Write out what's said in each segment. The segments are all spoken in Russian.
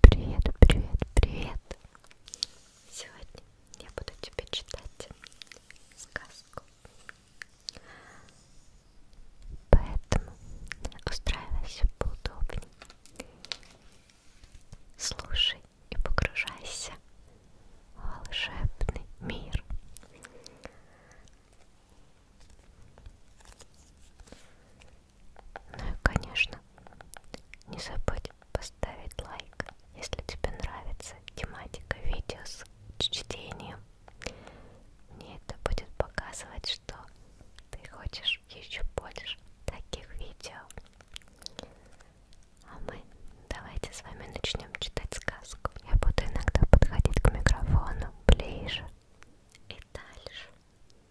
Привет, привет, привет! Сегодня я буду тебе читать сказку. Поэтому устраивайся поудобнее. Слушай и погружайся в волшебный мир. Ну и, конечно, не забудь поставить лайк, если тебе нравится тематика видео с чтением. Мне это будет показывать, что ты хочешь еще больше таких видео. А мы давайте с вами начнем читать сказку. Я буду иногда подходить к микрофону ближе и дальше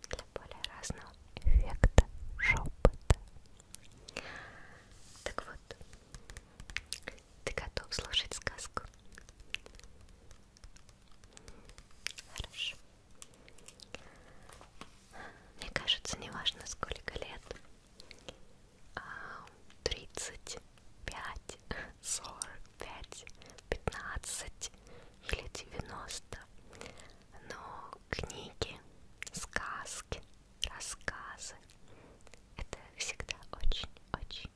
для более разного эффекта шепота. Так вот, ты готов слушать сказку? Хорошо. Мне кажется, неважно сколько лет, 30, а, пять, сорок пять, пятнадцать или девяносто. Но книги, сказки, рассказы — это всегда очень-очень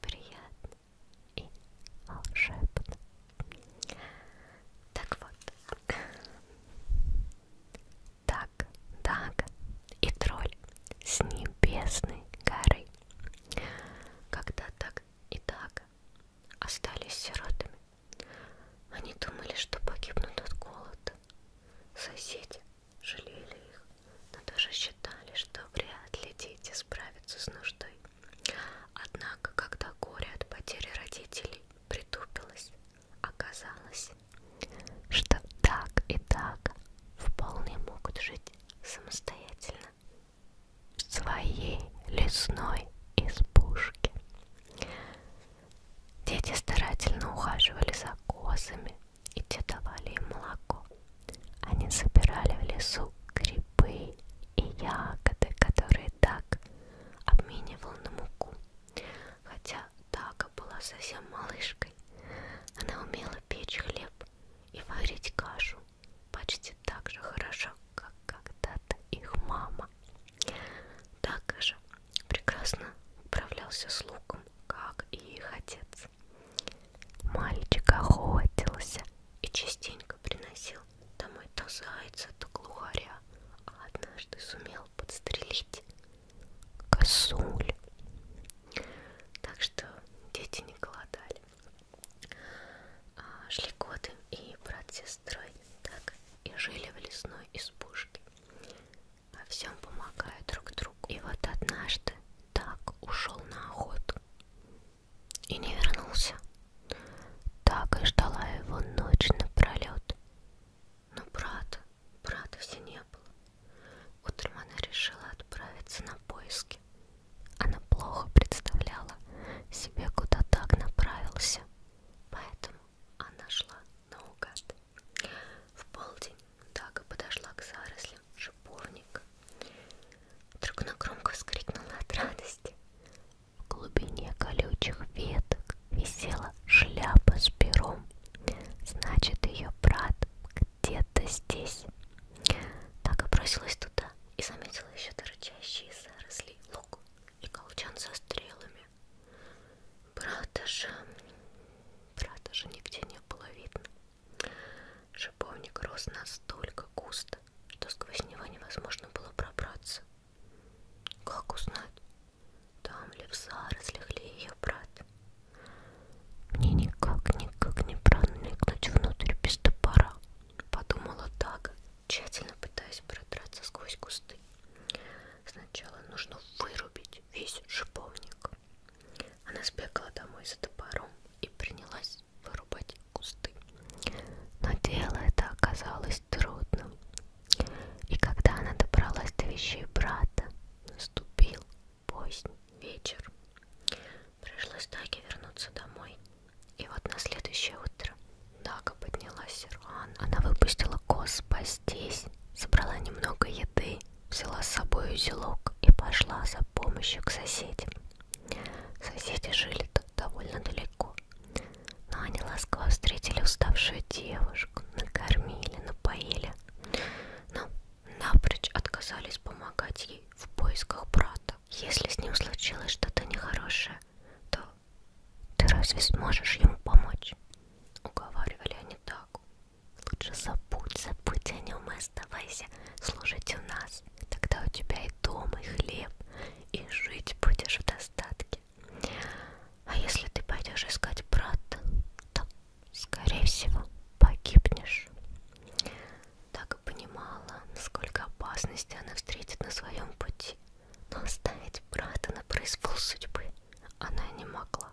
приятно и волшебно. Так вот, так, так и тролль с небесной горы когда так и так остались сиротами, они думали, что погибнут от голода. Соседи жалели их, но даже считали, что вряд ли дети справятся с нуждой. Однако, когда горе от потери родителей притупилось, оказалось, что так и так вполне могут жить самостоятельно в своей лесной избушке. Дети старательно ухаживали за козами, и те давали им молоко. Они собирали в лесу грибы и ягоды, которые так обменивал на муку. Хотя Дага была совсем малышкой, она умела печь хлеб и варить кашу почти так же хорошо, как когда-то их мама. Так же прекрасно управлялся с луком, как и их отец. Мальчик охотился и частенько приносил домой то зайца, то глухаря, а однажды сумел подстрелить косуль. Так что дети не голодали. А, шли годы и брат с сестрой так и жили в лесной избушке. Во всем помогают друг другу. И вот однажды так ушел на охоту и не вернулся. Так и ждала его ночь напролет. Но брата, брата все не было. Утром она решила отправиться на поиски. Она плохо представляла себе, куда так направился, поэтому она шла наугад. В полдень Дага подошла к зарослям шиповника. Вдруг она громко вскрикнула от радости. В глубине колючих веток висела шляпа с пером. Значит, ее брат где-то здесь. Так и бросилась туда и заметила еще торчащие заросли лук и колчан со стрелами. Брата же... Брата же нигде не было видно. Шиповник рос настолько густо, что сквозь него невозможно было пробраться. Как узнать, там ли в зарослях ли ее брат? Мне никак, никак не проникнуть внутрь без топора, подумала Дага, тщательно пытаясь продраться сквозь кусты. Сначала нужно вырубить весь шиповник. Она сбегала домой за топором и принялась вырубать кусты. Но дело это оказалось трудным. И когда она добралась до вещей брата, наступил поздний вечер. Пришлось Даге вернуться домой. И вот на следующее утро Дага поднялась рано. Она выпустила коз пастись, собрала немного еды, взяла с собой узелок и пошла за помощью к соседям. Соседи жили тут довольно далеко, но они ласково встретили уставшую девушку, накормили, напоили. Но ну, напрочь отказались помогать ей в поисках брата. Если с ним случилось что-то нехорошее, то ты разве сможешь ему помочь? Уговаривали они так. Лучше забудь, забудь о нем и оставайся служить у нас. Тогда у тебя и дом, и хлеб, и жить будешь в достатке. А если ты пойдешь искать брата, то скорее всего, погибнешь. Так и понимала, сколько опасностей она встретит на своем пути, но оставить брата на произвол судьбы она не могла.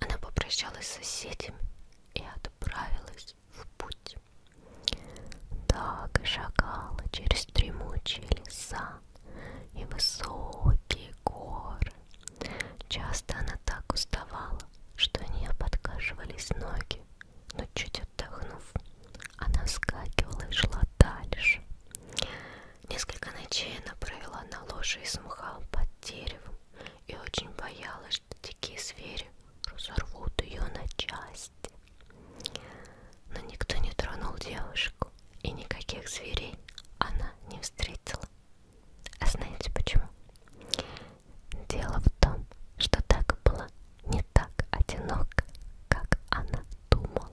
Она попрощалась с соседями и отправилась в путь. Так и шагала через дремучие леса и высокие горы, Часто она так уставала, что у нее подкашивались ноги, но чуть отдохнув, она вскакивала и шла дальше. Несколько ночей она провела на ложе из мха под деревом и очень боялась, что дикие звери разорвут ее на части. Но никто не тронул девушку, и никаких зверей она не встретила. А знаете почему? Дело в том, что так было не так одиноко, как она думала.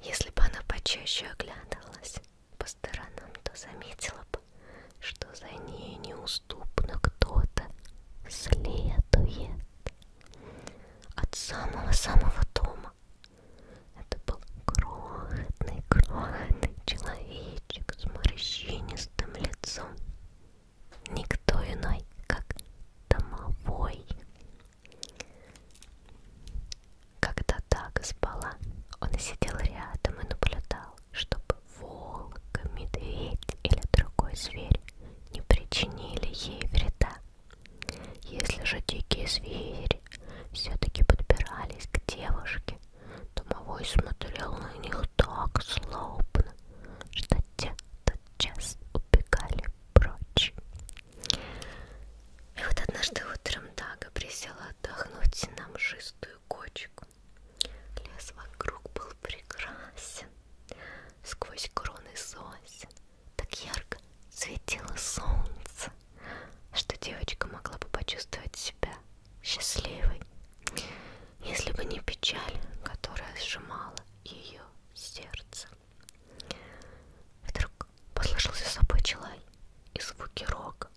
Если бы она почаще оглядывалась по сторонам, то заметила бы, что за ней неуступно кто-то следует. От самого-самого дома это был крохотный, крохотный человечек с морщинистым лицом. Никто иной, как домовой. Когда Дага спала, он сидел рядом и наблюдал, чтобы волк, медведь или другой зверь не причинили ей вреда. Если же дикие звери все-таки подбирались к девушке, домовой смотрел на них так злобно, что те тотчас убегали прочь. И вот однажды утром Дага присела отдохнуть на мшистую кочку. Лес вокруг был прекрасен. Сквозь кроны сосен так ярко светило солнце, что девочка могла бы почувствовать себя счастливой, если бы не печаль, которая сжимала ее сердце. Вдруг послышался собой челай и звуки рога,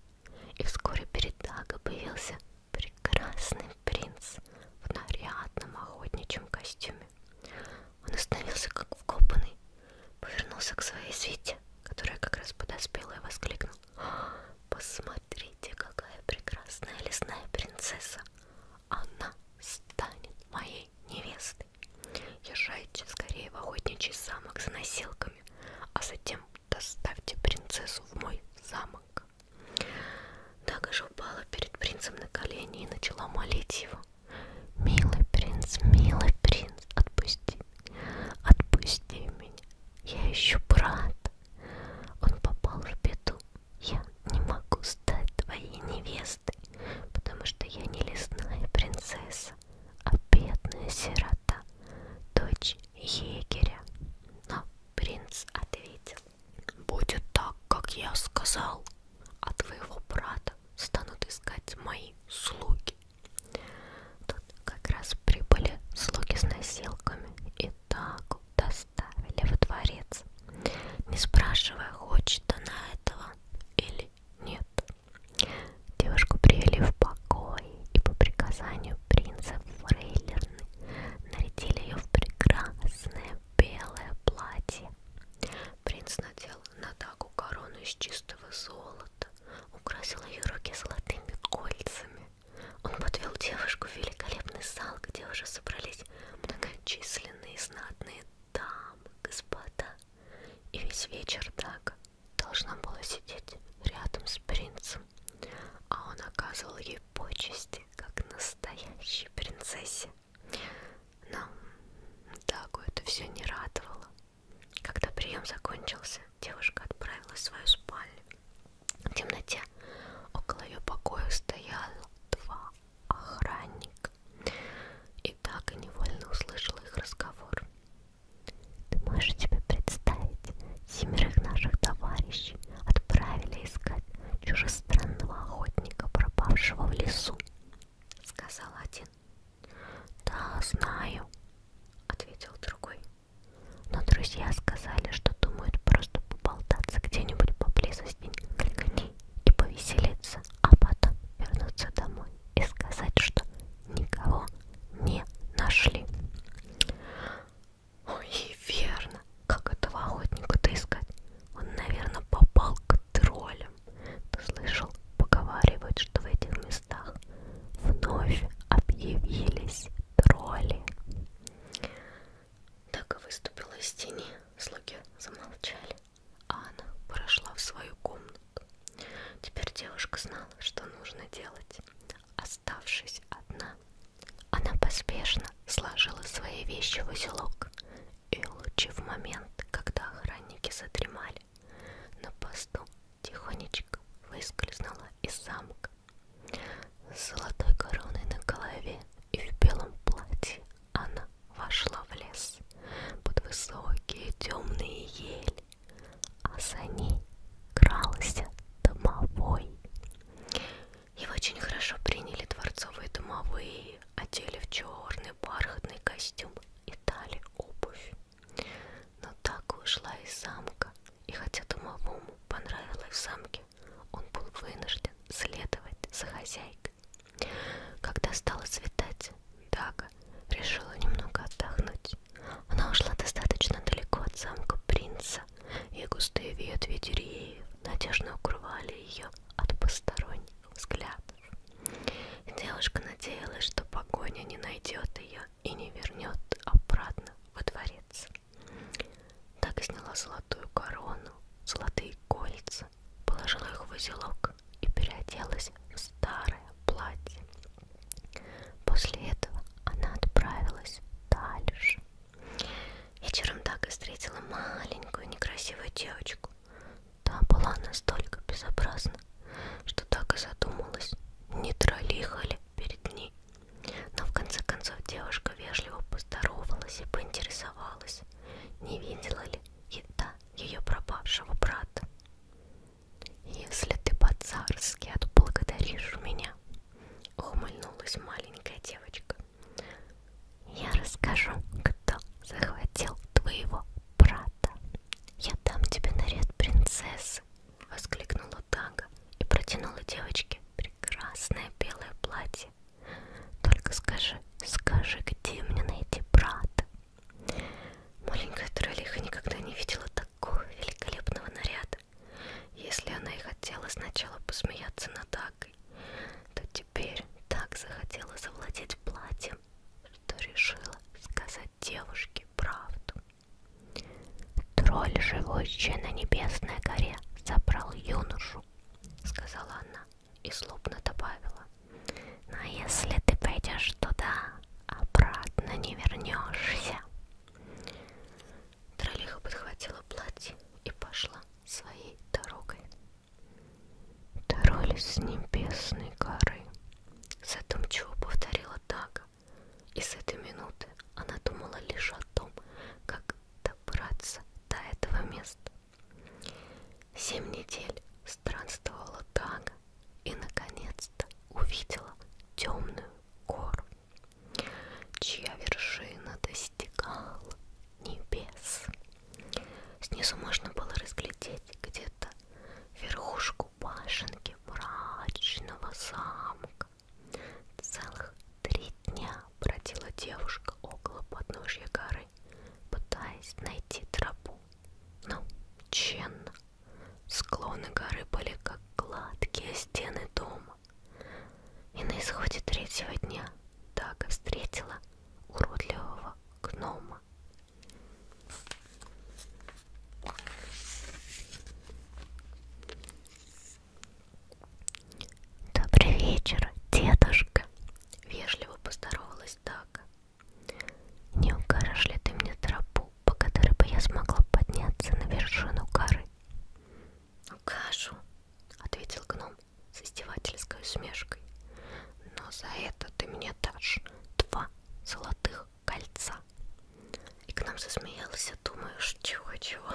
и вскоре перед Дага появился прекрасный принц в нарядном охотничьем костюме. Он остановился как вкопанный, повернулся к своей свете, которая как раз подоспела и воскликнул. «А, посмотрите, какая прекрасная лесная принцесса. Она станет моей невестой. Езжайте скорее в охотничий замок за носилками, а затем доставьте принцессу в мой замок. Дага же упала перед принцем на колени и начала молить его. Милый принц, милый принц, отпусти меня, отпусти меня. Я ищу брата. Он попал в беду. Я не могу стать твоей невестой, потому что я не лесная принцесса, а бедная сирота, дочь егеря. Но принц ответил, будет так, как я сказал а твоего брата станут искать мои слуги. Тут как раз прибыли слуги с носилками и так доставили во дворец, не спрашивая, хочет она этого или нет. Девушку привели в покой и по приказанию принца Фрейлерны нарядили ее в прекрасное белое платье. Принц надел Натаку корону из чистого золота, украсил ее руки золотыми кольцами. Он подвел девушку в великолепный зал, где уже собрались многочисленные знатные дамы, господа. И весь вечер так должна была сидеть рядом с принцем, а он оказывал ей почести, как настоящей принцессе. Но Дагу это все не радовало. Когда прием закончился, девушка отправилась в свою спальню. В темноте около ее покоя стоял два охранника. И Дага невольно услышала их разговор. Ты можешь себе представить, семерых наших товарищей отправили искать чужестранного охотника, пропавшего в лесу сказал один. Да, знаю, ответил другой. Но друзья сказали, что думают просто поболтаться где-нибудь поблизости кликани и повеселиться, а потом вернуться домой и сказать, что никого не нашли. Ой, верно. Как этого охотника-то искать? Он, наверное, попал к троллю. Андреем. Ты слышал, поговаривают, что в этих местах вновь объявились тролли. Так и выступила из тени. Слуги замолчали. Анна прошла в свою комнату. Теперь девушка знала, что нужно делать. Оставшись одна, она поспешно сложила свои вещи в узелок и лучше в момент, когда охранники задремали, на посту тихонечко выскользнула из замка. С золотой короной на голове и в белом платье она вошла в лес под высокие темные ели, а за ней крался домовой. Его очень хорошо приняли дворцовые домовые, одели в черные форме бархатный костюм и дали обувь. Но так ушла из замка, и хотя домовому понравилось в замке, он был вынужден следовать за хозяйкой. Когда стало светать, Дага решила немного отдохнуть. Она ушла достаточно далеко от замка принца, и густые ветви деревьев надежно укрывали ее от посторонних взгляд. Девушка надеялась, что погоня не найдет ее и не вернет обратно во дворец. Так сняла золотую корону, золотые кольца, положила их в узелок и переоделась в старое платье. После этого она отправилась дальше. Вечером так и встретила маленькую некрасивую девочку. Та была настолько безобразна, что так и задумалась, не троллихали перед ней. Но в конце концов девушка вежливо поздоровалась и поинтересовалась, не видела ли еда ее пропавшего брата. «Если ты по-царски отблагодаришь меня», — ухмыльнулась маленькая девочка, я расскажу, кто захватил твоего брата. Я дам тебе наряд принцессы, воскликнула Дага и протянула девочке прекрасное белое платье. Только скажи, скажи, где мне найти брата? Маленькая троллиха никогда не видела такого великолепного наряда. Если она и хотела сначала посмеяться над Дагой, то Теперь так захотела завладеть платьем, что решила сказать девушке правду. Тролль, живущий на небесной горе, забрал юношу, сказала она и злобно добавила. Но если ты пойдешь туда, обратно не вернешься. Троллиха подхватила платье и пошла своей дорогой. Боролись с небесной горы. Задумчиво повторила Дага. И с этой минуты она думала лишь о том, как добраться до этого места. Семь недель странствовала Дага и наконец-то увидела темную гору, чья вершина достигала небес. Снизу можно было разглядеть где-то верхушку башенки мрачного замка. Целых три дня бродила девушка около подножья горы, пытаясь найти тропу. Но тщенно. Склоны горы были как гладкие стены дома. И на исходе третьего дня Дага встретила уродливого гнома. Добрый вечер, дедушка! Вежливо поздоровалась Дага. Не укажешь ли ты мне тропу, по которой бы я смогла подняться на вершину горы? кашу, ответил гном с издевательской усмешкой. Но за это ты мне дашь два золотых кольца. И к нам засмеялся, думаешь, чего-чего.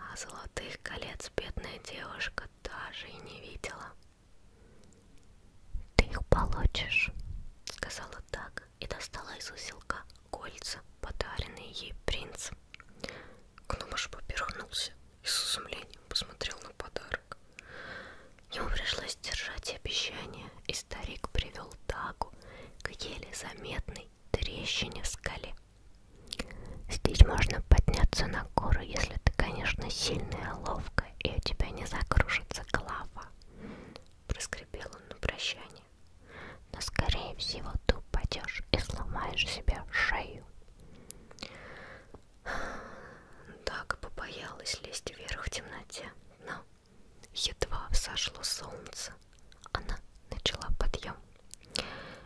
А золотых колец бедная девушка даже и не видела. Ты их получишь, сказала так и достала из узелка кольца, подаренные ей принцем. Гномыш поперхнулся и с изумлением посмотрел на подарок. Ему пришлось держать обещание, и старик привел Дагу к еле заметной трещине в скале. Здесь можно подняться на гору, если ты, конечно, сильная, ловкая, и у тебя не закружится голова. Проскрипел он на прощание но скорее всего ты упадешь и сломаешь себе шею. Так побоялась лезть вверх в темноте, но едва взошло солнце, она начала подъем.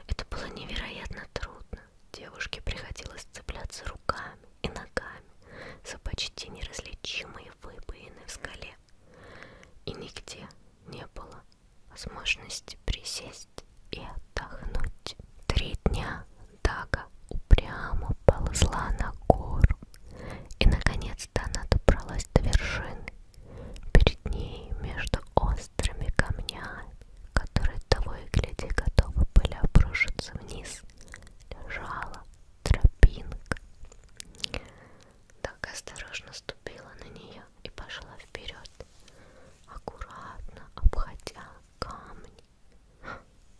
Это было невероятно трудно. Девушке приходилось цепляться руками и ногами за почти неразличимые выбоины в скале. И нигде не было возможности присесть и отдохнуть. Три дня Дага упрямо ползла на гору, и наконец-то она добралась до вершины. Перед ней между острыми камнями, которые того и гляди готовы были обрушиться вниз, лежала тропинка. Дага осторожно ступила на нее земле и пошла вперед, аккуратно обходя камни.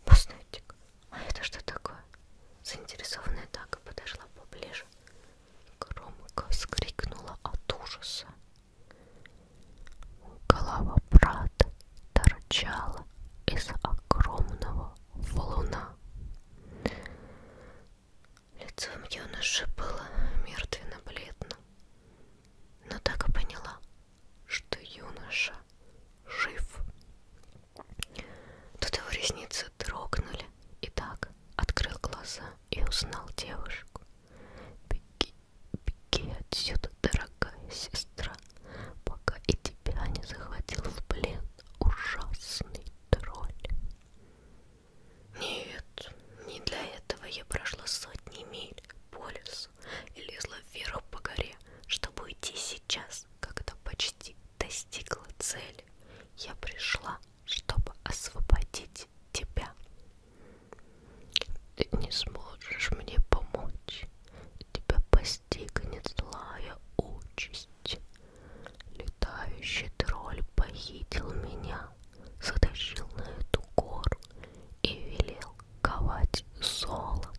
Постойте-ка, а это что такое? Заинтересованная Дага подошла поближе. Громко вскрикнула от ужаса. Голова брата торчала из огромного валуна. Лицом юноши было мертвенно-бледно, но так и поняла, что юноша жив. Тут его ресницы дрогнули, и так открыл глаза и узнал девушку. «Беги, беги отсюда, дорогая сестра, пока и тебя не захватил в плен ужасный тролль». Нет, не для этого я прошла сотни миль по лесу и лезла вверх по горе, чтобы уйти сейчас, когда почти достигла цели. Я пришла, чтобы освободить тебя. Ты не сможешь мне помочь. Тебя постигнет злая участь. Летающий тролль похитил меня, затащил на эту гору и велел ковать золото.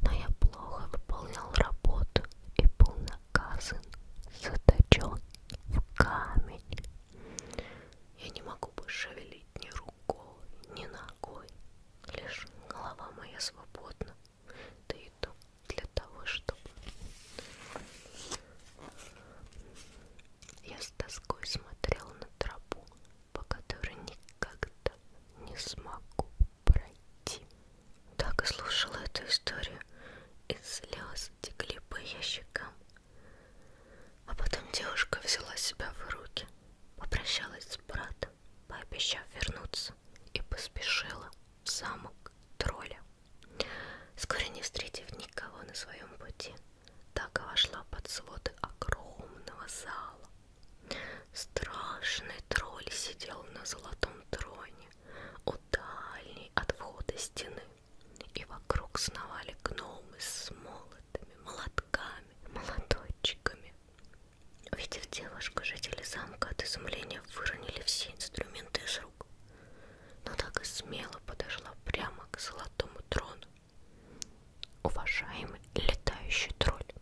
Но я плохо выполнял работу и был наказан, заточен в камень. Я не могу больше шевелить ни рукой, ни ногой. Лишь голова моя свободна, да и то для того, чтобы я с тоской смотрел на тропу, по которой никогда не смогу пройти. Так и слушала эту историю, и слезы текли по ее щекам. А потом девушка взяла себя в руки, попрощалась с братом, пообещав вернуться, и поспешила в замок тролля. Скоро не встретив никого на своем пути, так вошла под своды огромного зала. Страшный тролль сидел на золотом троне у дальней от входа стены, и вокруг сновали гномы с молотами, молотками, молоточками. Увидев девушку, жители замка от изумления выронили все инструменты из подруг, но так и смело подошла прямо к золотому трону. Уважаемый летающий тролль,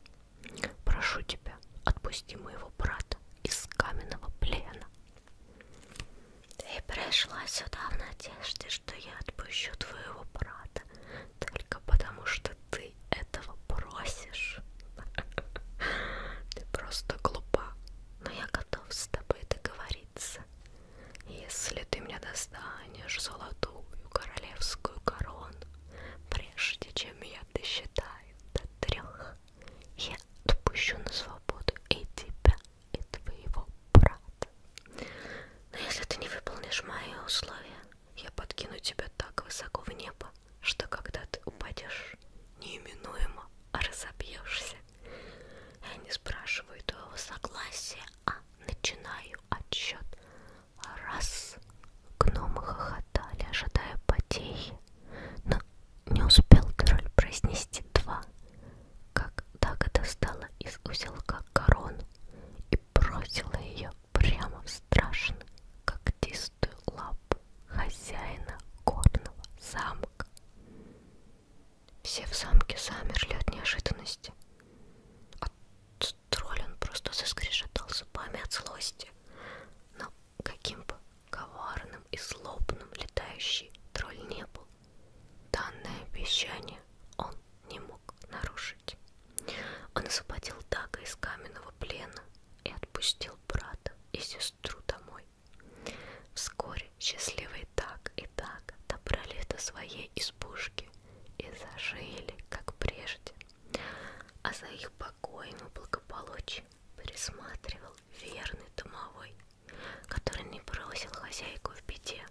прошу тебя, отпусти моего брата из каменного плена. Ты пришла сюда в надежде, что я отпущу твоего брата, только потому что ты этого просишь. Ты просто глупа, но я готов с тобой договориться. Если ты мне достанешь золотую королевскую корону, прежде чем я досчитаю до трех, я отпущу на свободу и тебя, и твоего брата. Но если ты не выполнишь мои условия, я подкину тебя так высоко в небо, что когда ты упадешь, неименуемо разобьешься. Я не спрашиваю твоего согласия, а начинаю отсчет. Раз. Гномы хохотали, ожидая потехи, но не успел король произнести два, как Дага достала из узелка корону и бросила ее прямо в страшно, как толстую лапу хозяина горного замка. Все в замке замерли от неожиданности. А тролль он просто заскрежетал зубами от злости. Но каким бы коварным и злобным летающий тролль не был, данное обещание он не мог нарушить. Он освободил Дага из каменного плена и отпустил брата и сестру домой домой. Вскоре счастливые так и так добрались до своей избушки и зажили, как прежде. А за их покоем и благополучием присматривал верный домовой, который не бросил хозяйку в беде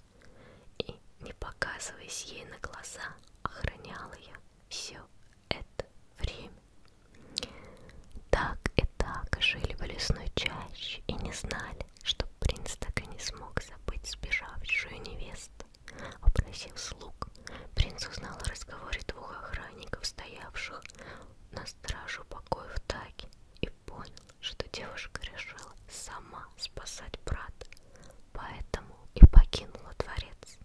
и, не показываясь ей на глаза, охранял ее все это время. Так и так жили в лесной чаще и не знали, что принц так и не смог забыть сбежавшую невесту. Опросив слуг, принц узнал о разговоре двух охранников, стоявших на стражу покоев Таки, и понял, что девушка решила сама спасать брата, поэтому и покинула дворец.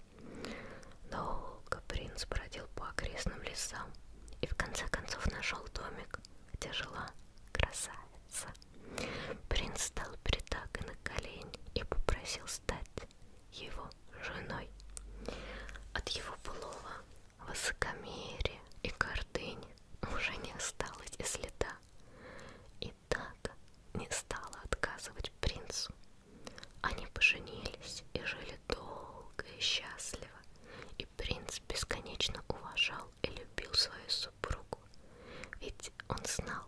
Долго принц бродил по окрестным лесам и в конце концов нашел домик, где жила красавица. Принц стал перед Агой на колени и попросил стать его женой. От его былого высокомерия и гордыни уже не осталось и следа. И так не стала отказывать принцу они поженились и жили долго и счастливо, и принц бесконечно уважал и любил свою супругу, ведь он знал,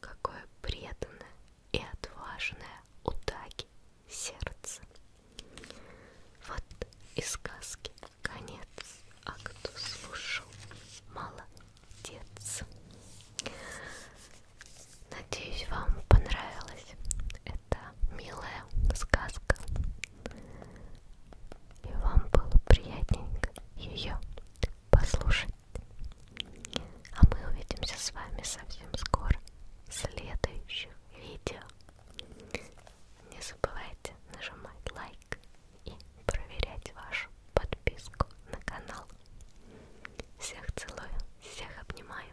какое преданное и отважное у Даги сердце. Вот и сказки конец, а кто слушал, молодец. Надеюсь, вам понравилась эта милая сказка. И вам было приятненько ее послушать. А мы увидимся с вами совсем скоро в следующих видео. Не забывайте нажимать лайк и проверять вашу подписку на канал. Всех целую, всех обнимаю.